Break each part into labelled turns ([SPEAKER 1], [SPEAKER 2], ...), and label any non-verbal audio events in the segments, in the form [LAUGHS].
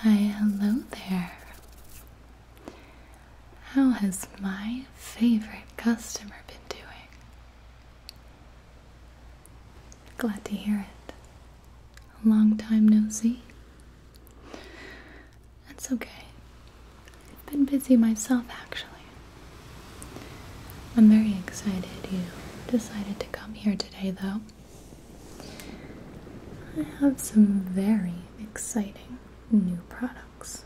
[SPEAKER 1] Why, hello there. How has my favorite customer been doing? Glad to hear it. A long time nosy? That's okay. I've been busy myself, actually. I'm very excited you decided to come here today, though. I have some very exciting new products.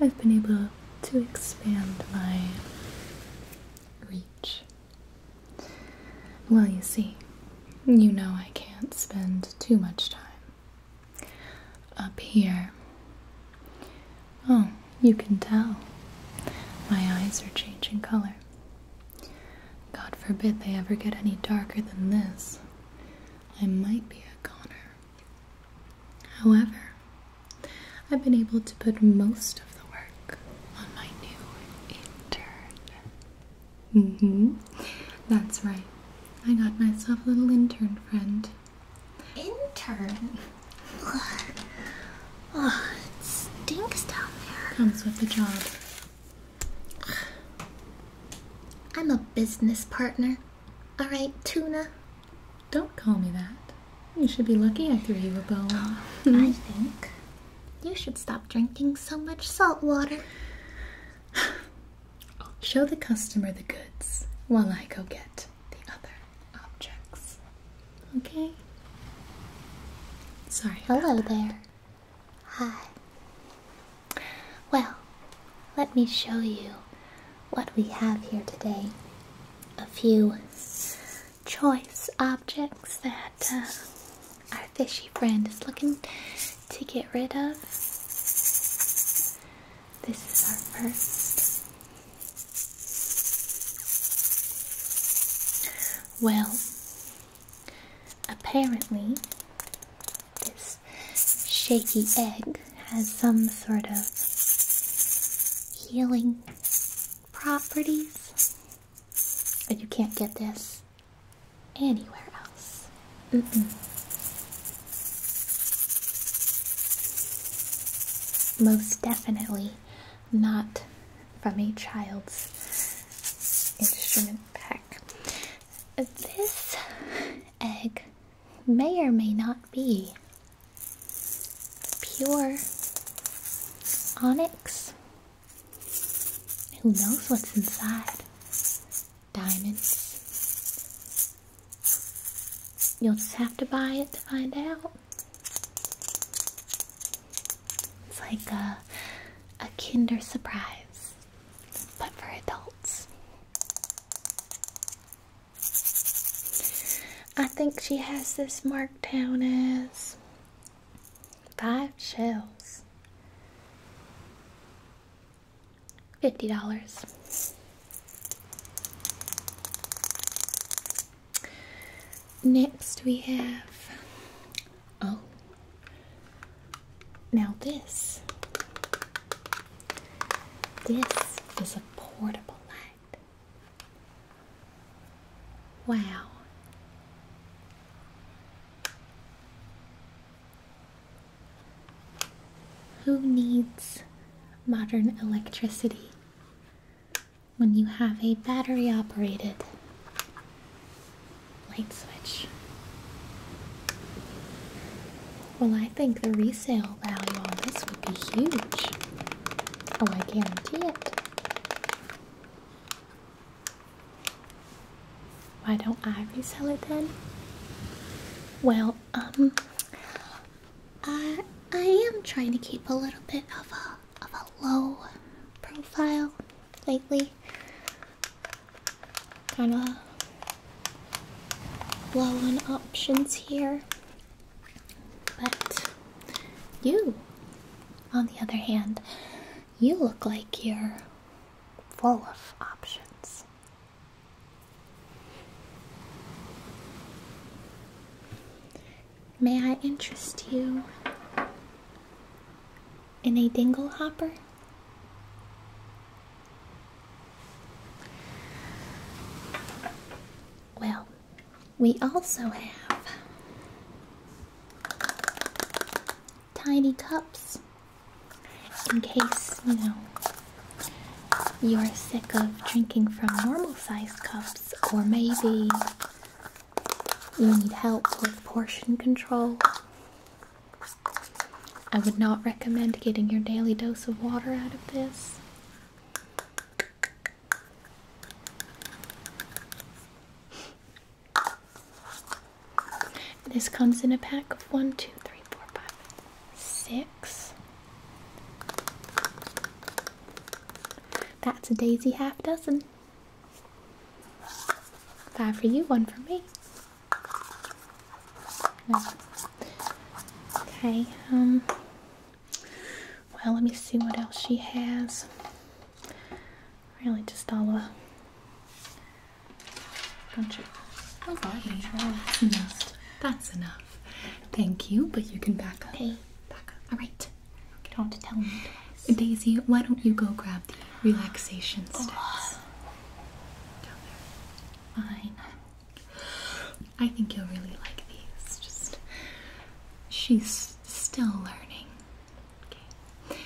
[SPEAKER 1] I've been able to expand my reach. Well, you see, you know I can't spend too much time up here Oh, you can tell. My eyes are changing color. God forbid they ever get any darker than this. I might be a goner. However, I've been able to put most of the work on my new intern. Mm hmm. That's right. I got myself a little intern friend. Intern? it stinks down there. Comes with the job. I'm a business partner. All right, Tuna. Don't call me that. You should be lucky I threw you a bone. Oh, [LAUGHS] I think you should stop drinking so much salt water. Show the customer the goods while I go get the other objects. Okay? Sorry. Hello there. Hi. Well, let me show you what we have here today. A few choice objects that uh, our fishy friend is looking to get rid of. This is our first well, apparently, this shaky egg has some sort of healing properties, but you can't get this anywhere else. Mm -mm. Most definitely not from a child's instrument pack. This egg may or may not be pure onyx. Who knows what's inside? Diamonds. You'll just have to buy it to find out. It's like a, a Kinder Surprise, but for adults. I think she has this marked down as five shells. $50. Next, we have oh, now this this is a portable light. Wow. Who needs modern electricity? when you have a battery operated light switch. Well, I think the resale value on this would be huge. Oh, I guarantee it. Why don't I resell it then? Well, um, I uh, I am trying to keep a little bit of a of a low profile lately. Kind of low on options here, but you, on the other hand, you look like you're full of options. May I interest you in a dingle hopper? Well, we also have tiny cups in case, you know, you're sick of drinking from normal sized cups, or maybe you need help with portion control, I would not recommend getting your daily dose of water out of this. This comes in a pack of one, two, three, four, five, six. That's a daisy half dozen. Five for you, one for me. Okay, um, well, let me see what else she has. Really, just all a bunch of. Oh, garbage. Mm-hmm. That's enough. Thank you, but you can back up. Okay, back up. All right. You don't have to tell me Daisy, why don't you go grab the relaxation oh. steps? Fine. I think you'll really like these. Just she's still learning. Okay.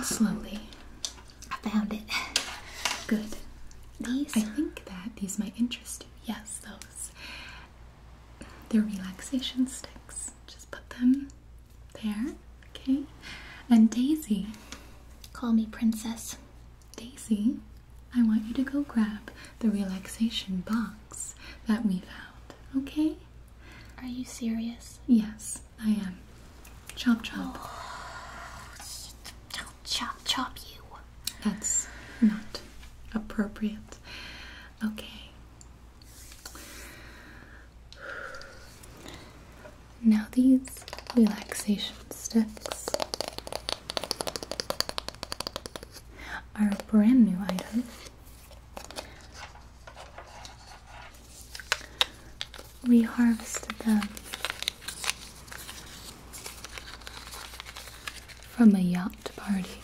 [SPEAKER 1] [SIGHS] slowly. I found it. Good. These. I think that these might interest Yes, those. They're relaxation sticks. Just put them there. Okay. And Daisy, call me Princess. Daisy, I want you to go grab the relaxation box that we found. Okay? Are you serious? Yes, I am. Chop, chop. Oh, chop, chop, you. That's not appropriate. Okay. Now, these relaxation sticks are brand new items. We harvested them from a yacht party.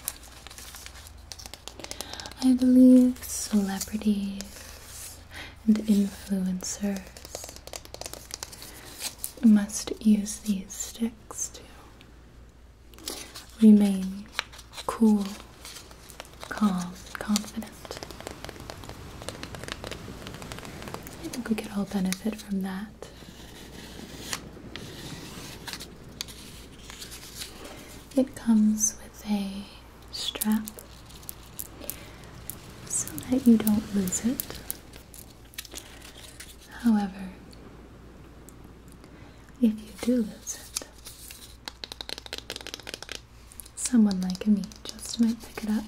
[SPEAKER 1] I believe celebrities and influencers must use these sticks to remain cool, calm, confident. I think we could all benefit from that. It comes with a strap so that you don't lose it. However, if you do lose it, someone like me just might pick it up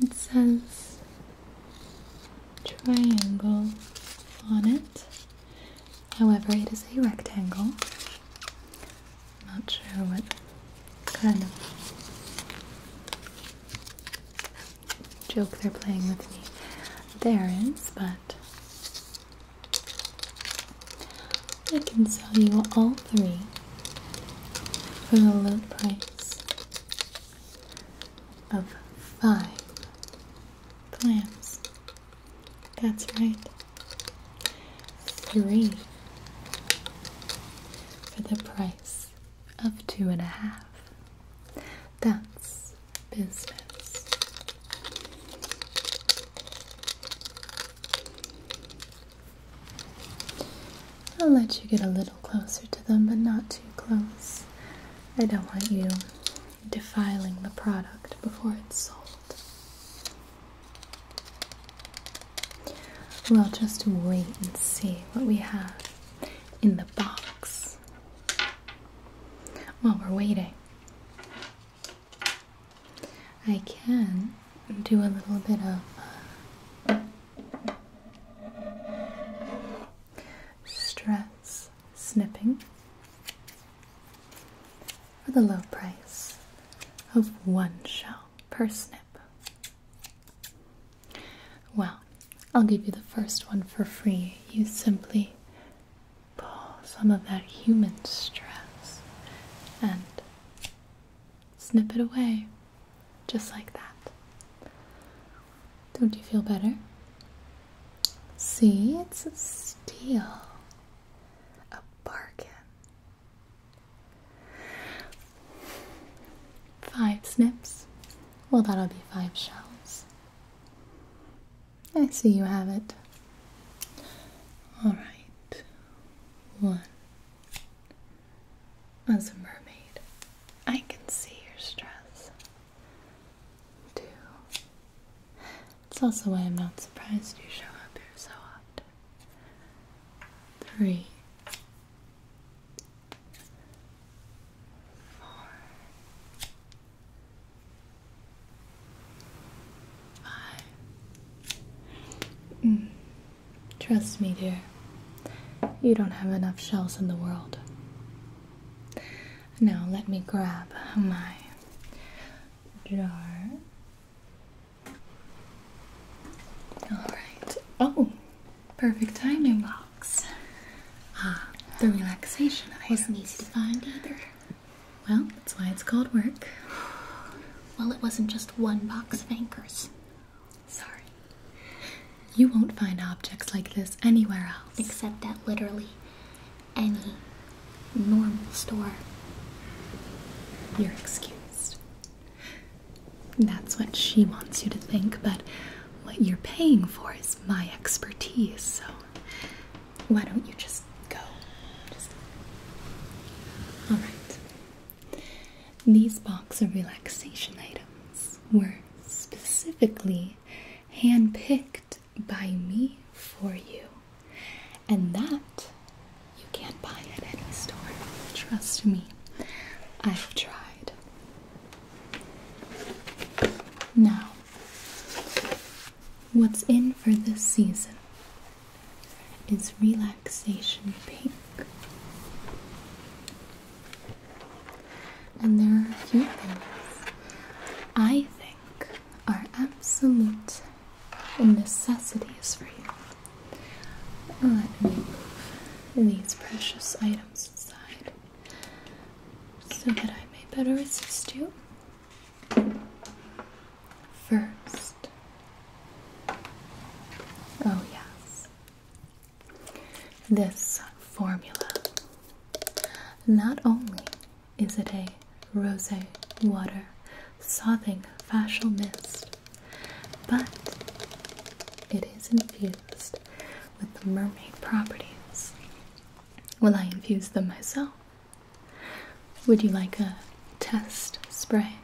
[SPEAKER 1] it says triangle on it. However, it is a rectangle. Not sure what kind of joke they're playing with me. There is, but I can sell you all three for the low price of five clams. That's right, three for the price of two and a half. That's business. I'll let you get a little closer to them, but not too close. I don't want you defiling the product before it's sold. We'll just wait and see what we have in the box while we're waiting. I can do a little bit of uh, stress snipping for the low price of one shell per snip. Well, I'll give you the first one for free. You simply pull some of that human stress and snip it away, just like that. Don't you feel better? See, it's a steal, a bargain. Five snips. Well, that'll be five shells. I see you have it. All right one. As a mermaid, I can see your stress. Two. It's also why I'm not surprised you show up here so often. Three. Four. Mm. Trust me, dear. You don't have enough shells in the world. Now let me grab my jar. Alright. Oh, perfect timing. Box. Ah, the relaxation I wasn't easy to find either. Well, that's why it's called work. Well, it wasn't just one box of anchors. Sorry. You won't find objects like this anywhere else. Except at literally any normal store. You're excused. That's what she wants you to think, but what you're paying for is my expertise, so why don't you just go? All right. These box of relaxation items were specifically handpicked by me for you, and that you can't buy at any store. Trust me, I've tried. Now, what's in for this season? It's relaxation pink. And there are a few things I think are absolute necessities for you. Let me move these precious items aside so that I may better assist you first. Oh, yes. This formula. Not only is it a rose water soothing facial mist, but it is infused with mermaid properties. Will I infuse them myself? Would you like a test spray?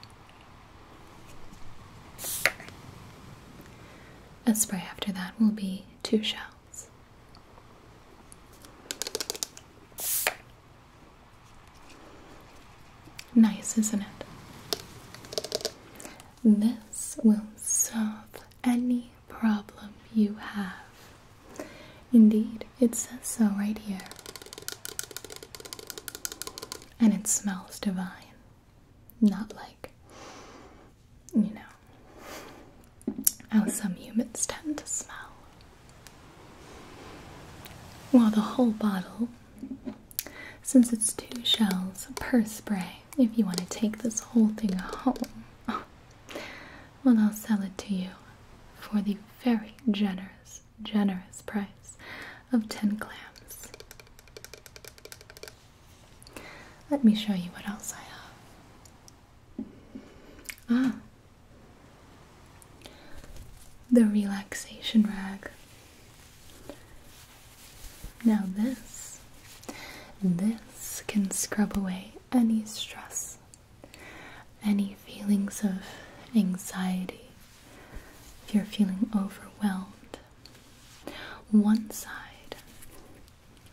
[SPEAKER 1] A spray after that will be two shells. Nice, isn't it? This will solve any problem you have. Indeed, it says so right here. And it smells divine. Not like, you know, how some humans tend to smell. Well, the whole bottle, since it's two shells per spray, if you want to take this whole thing home, well, I'll sell it to you for the very generous, generous price of 10 clams. Let me show you what else I have. Ah, the relaxation rag. Now, this, this can scrub away any stress any feelings of anxiety, if you're feeling overwhelmed, one side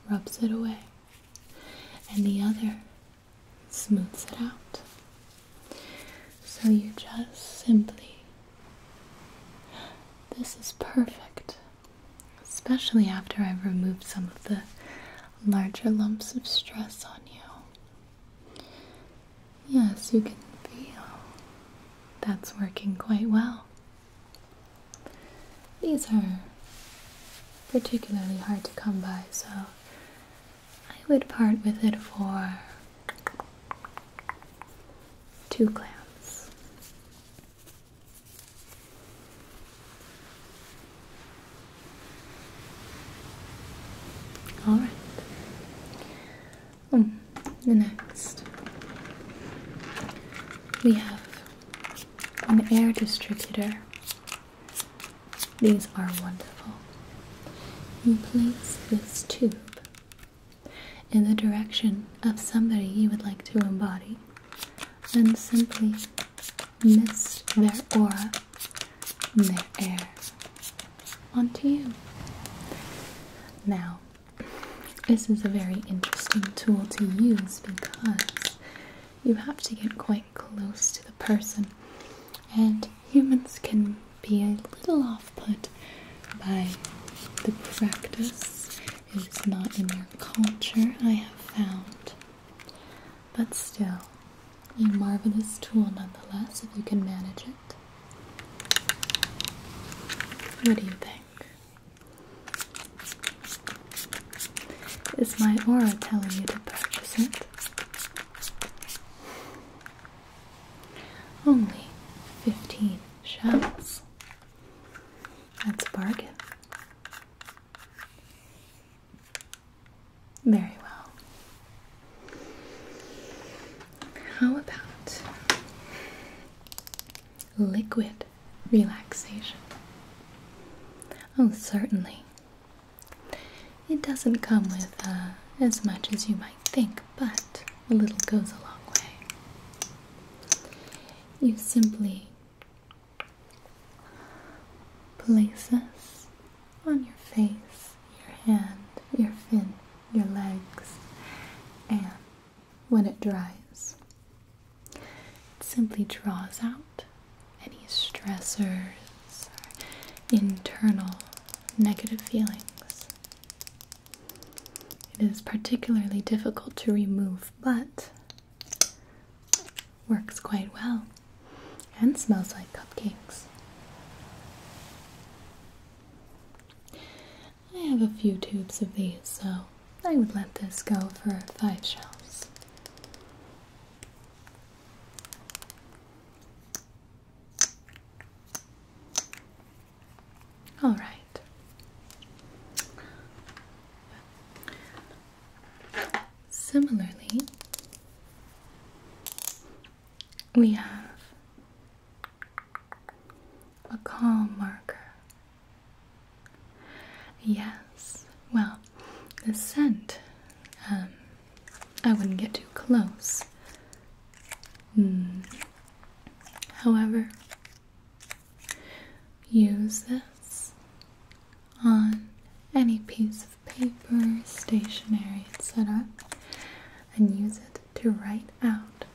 [SPEAKER 1] rubs it away and the other smooths it out. So you just simply, this is perfect, especially after I've removed some of the larger lumps of stress on you. Yes, you can feel that's working quite well. These are particularly hard to come by, so I would part with it for two clams. All right. Hmm, the next, we have an air distributor. These are wonderful. You place this tube in the direction of somebody you would like to embody then simply mist their aura their air onto you. Now, this is a very interesting tool to use because you have to get quite close to the person, and humans can be a little off put by the practice. It's not in your culture, I have found but still a marvelous tool nonetheless if you can manage it. What do you think? Is my aura telling you to purchase it? Only 15 shells. That's a bargain. Very well. How about liquid relaxation? Oh, certainly. It doesn't come with uh, as much as you might think, but a little goes a long way. You simply places on your face, your hand, your fin, your legs, and when it dries, it simply draws out any stressors or internal negative feelings. It is particularly difficult to remove, but Works quite well and smells like cupcakes. I have a few tubes of these, so I would let this go for five shells. All right. Similarly, we have a calm marker. Yes, well, the scent, um, I wouldn't get too close. Mm. However, Use this on any piece of paper, stationery, etc., and use it to write out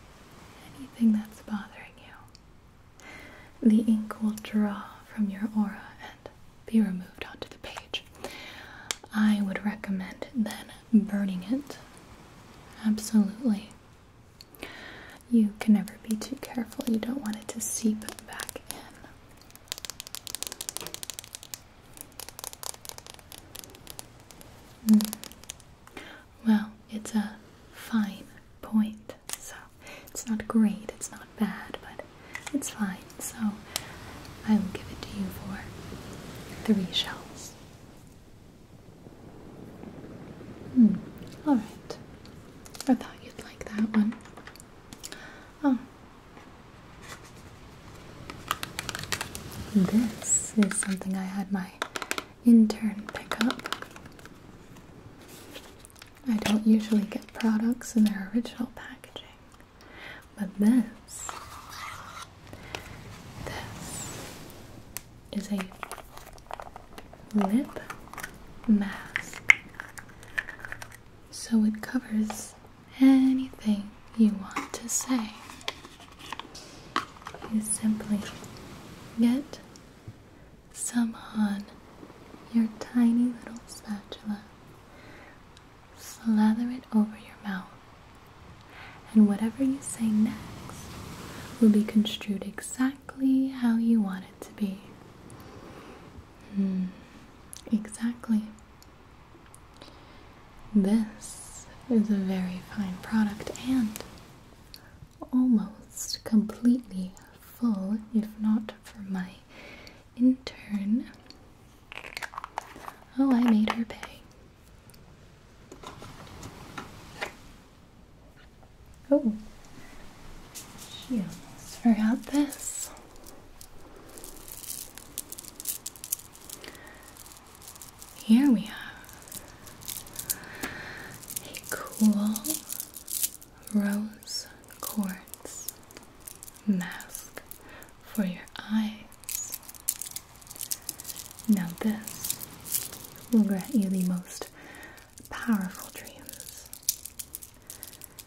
[SPEAKER 1] anything that's bothering you. The ink will draw from your aura and be removed onto the page. I would recommend then burning it. Absolutely. You can never be too careful. You don't want it to seep back in. Hmm. Well, it's a fine point, so it's not great, it's not bad, but it's fine. So I will give it to you for three shells. Mm. All right. I thought you'd like that one. Oh. This is something I had my intern pick up. I don't usually get products in their original packaging, but this. This is a lip mask. So it covers anything you want to say. You simply get some on your tiny little spatula, slather it over your mouth, and whatever you say next will be construed exactly exactly how you want it to be. Hmm. exactly. This is a very fine product and almost completely full, if not for my intern. Oh, I made her pay. Oh, she almost forgot this. Here we have a cool rose quartz mask for your eyes. Now, this will grant you the most powerful dreams.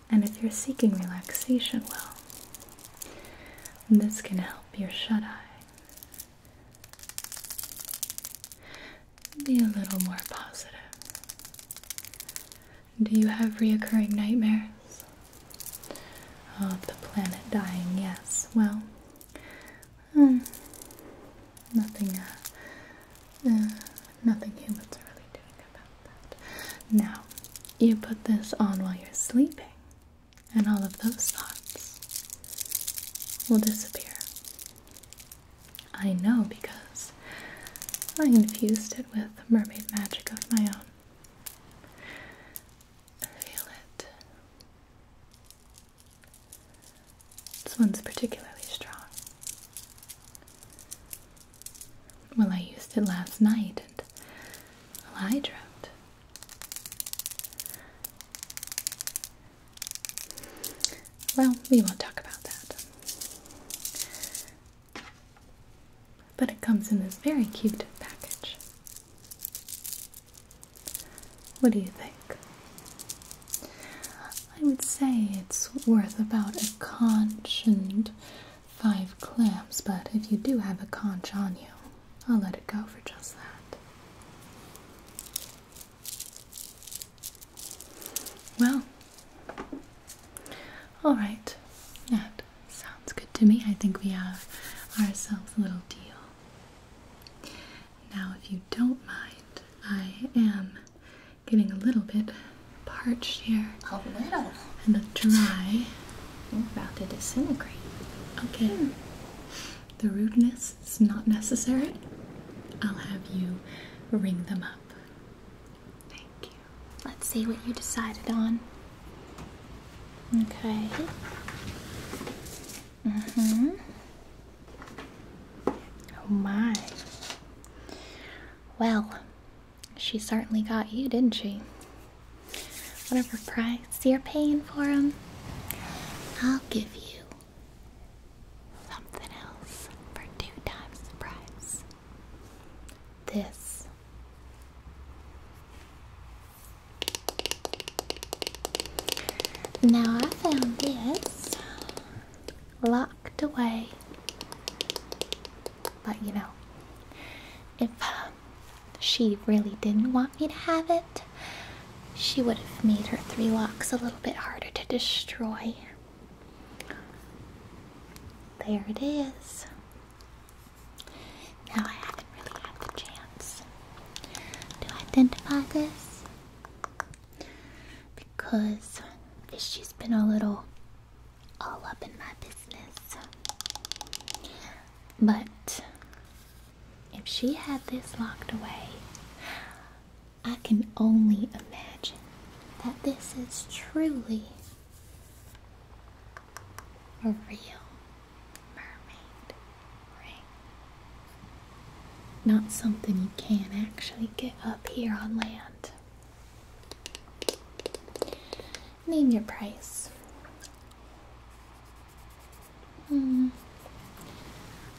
[SPEAKER 1] And if you're seeking relaxation, well, this can help your shut eye be a little more positive. Do you have reoccurring nightmares? Of the planet dying, yes. Well, hmm, nothing, uh, uh nothing humans are really doing about that. Now, you put this on while you're sleeping, and all of those thoughts will disappear. I know because I infused it with mermaid magic of my own. Feel it. This one's particularly strong. Well, I used it last night and well, I dreamt. Well, we won't talk about that. But it comes in this very cute package. What do you think? I would say it's worth about a conch and five clams, but if you do have a conch on you, I'll let it go for just that. Well, all right, that sounds good to me. I think we have ourselves a little deal. Now, if you don't mind, I am getting a little bit parched here. A little. And the dry. we are about to disintegrate. Okay. The rudeness is not necessary. I'll have you ring them up. Thank you. Let's see what you decided on. Okay. Mm-hmm. Oh my. Well, she certainly got you, didn't she? Whatever price you're paying for them, I'll give you something else for two times the price. This. Now I found this locked away. But you know, if um, she really didn't want me to have it, she would have made her three locks a little bit harder to destroy. There it is. Now I haven't really had the chance to identify this because she's been a little all up in my business. But if she had this locked away, I can only imagine that this is truly a real mermaid. Not something you can actually get up here on land. Name your price. Hmm.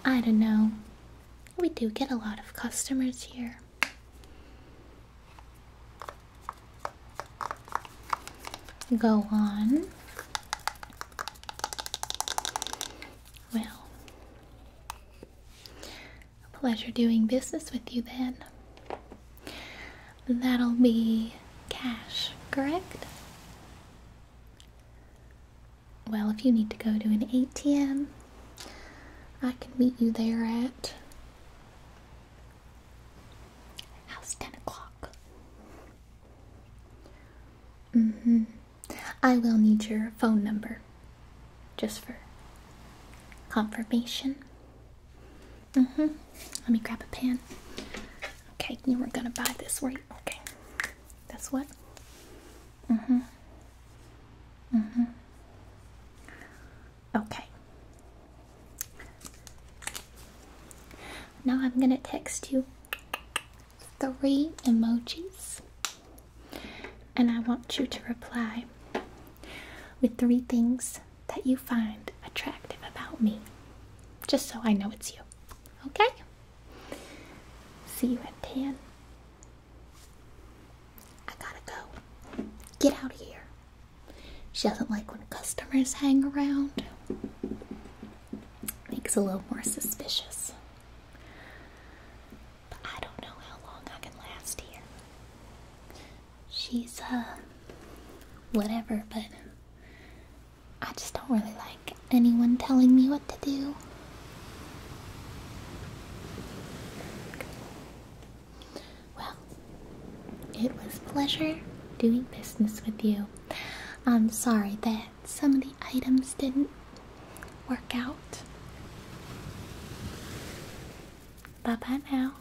[SPEAKER 1] I don't know. We do get a lot of customers here. Go on. Well, pleasure doing business with you then. That'll be cash, correct? Well, if you need to go to an ATM, I can meet you there at. How's 10 o'clock? Mm hmm. I will need your phone number just for confirmation. Mm-hmm. Let me grab a pen. Okay, you were gonna buy this, right? Okay. That's what? Mm-hmm. Mm-hmm. Okay. Now I'm gonna text you three emojis, and I want you to reply with three things that you find attractive about me, just so I know it's you. Okay? See you at 10. I gotta go. Get out of here. She doesn't like when customers hang around. Makes a little more suspicious. But I don't know how long I can last here. She's, uh, whatever, but I just don't really like anyone telling me what to do. Well, it was pleasure doing business with you. I'm sorry that some of the items didn't work out. Bye bye now.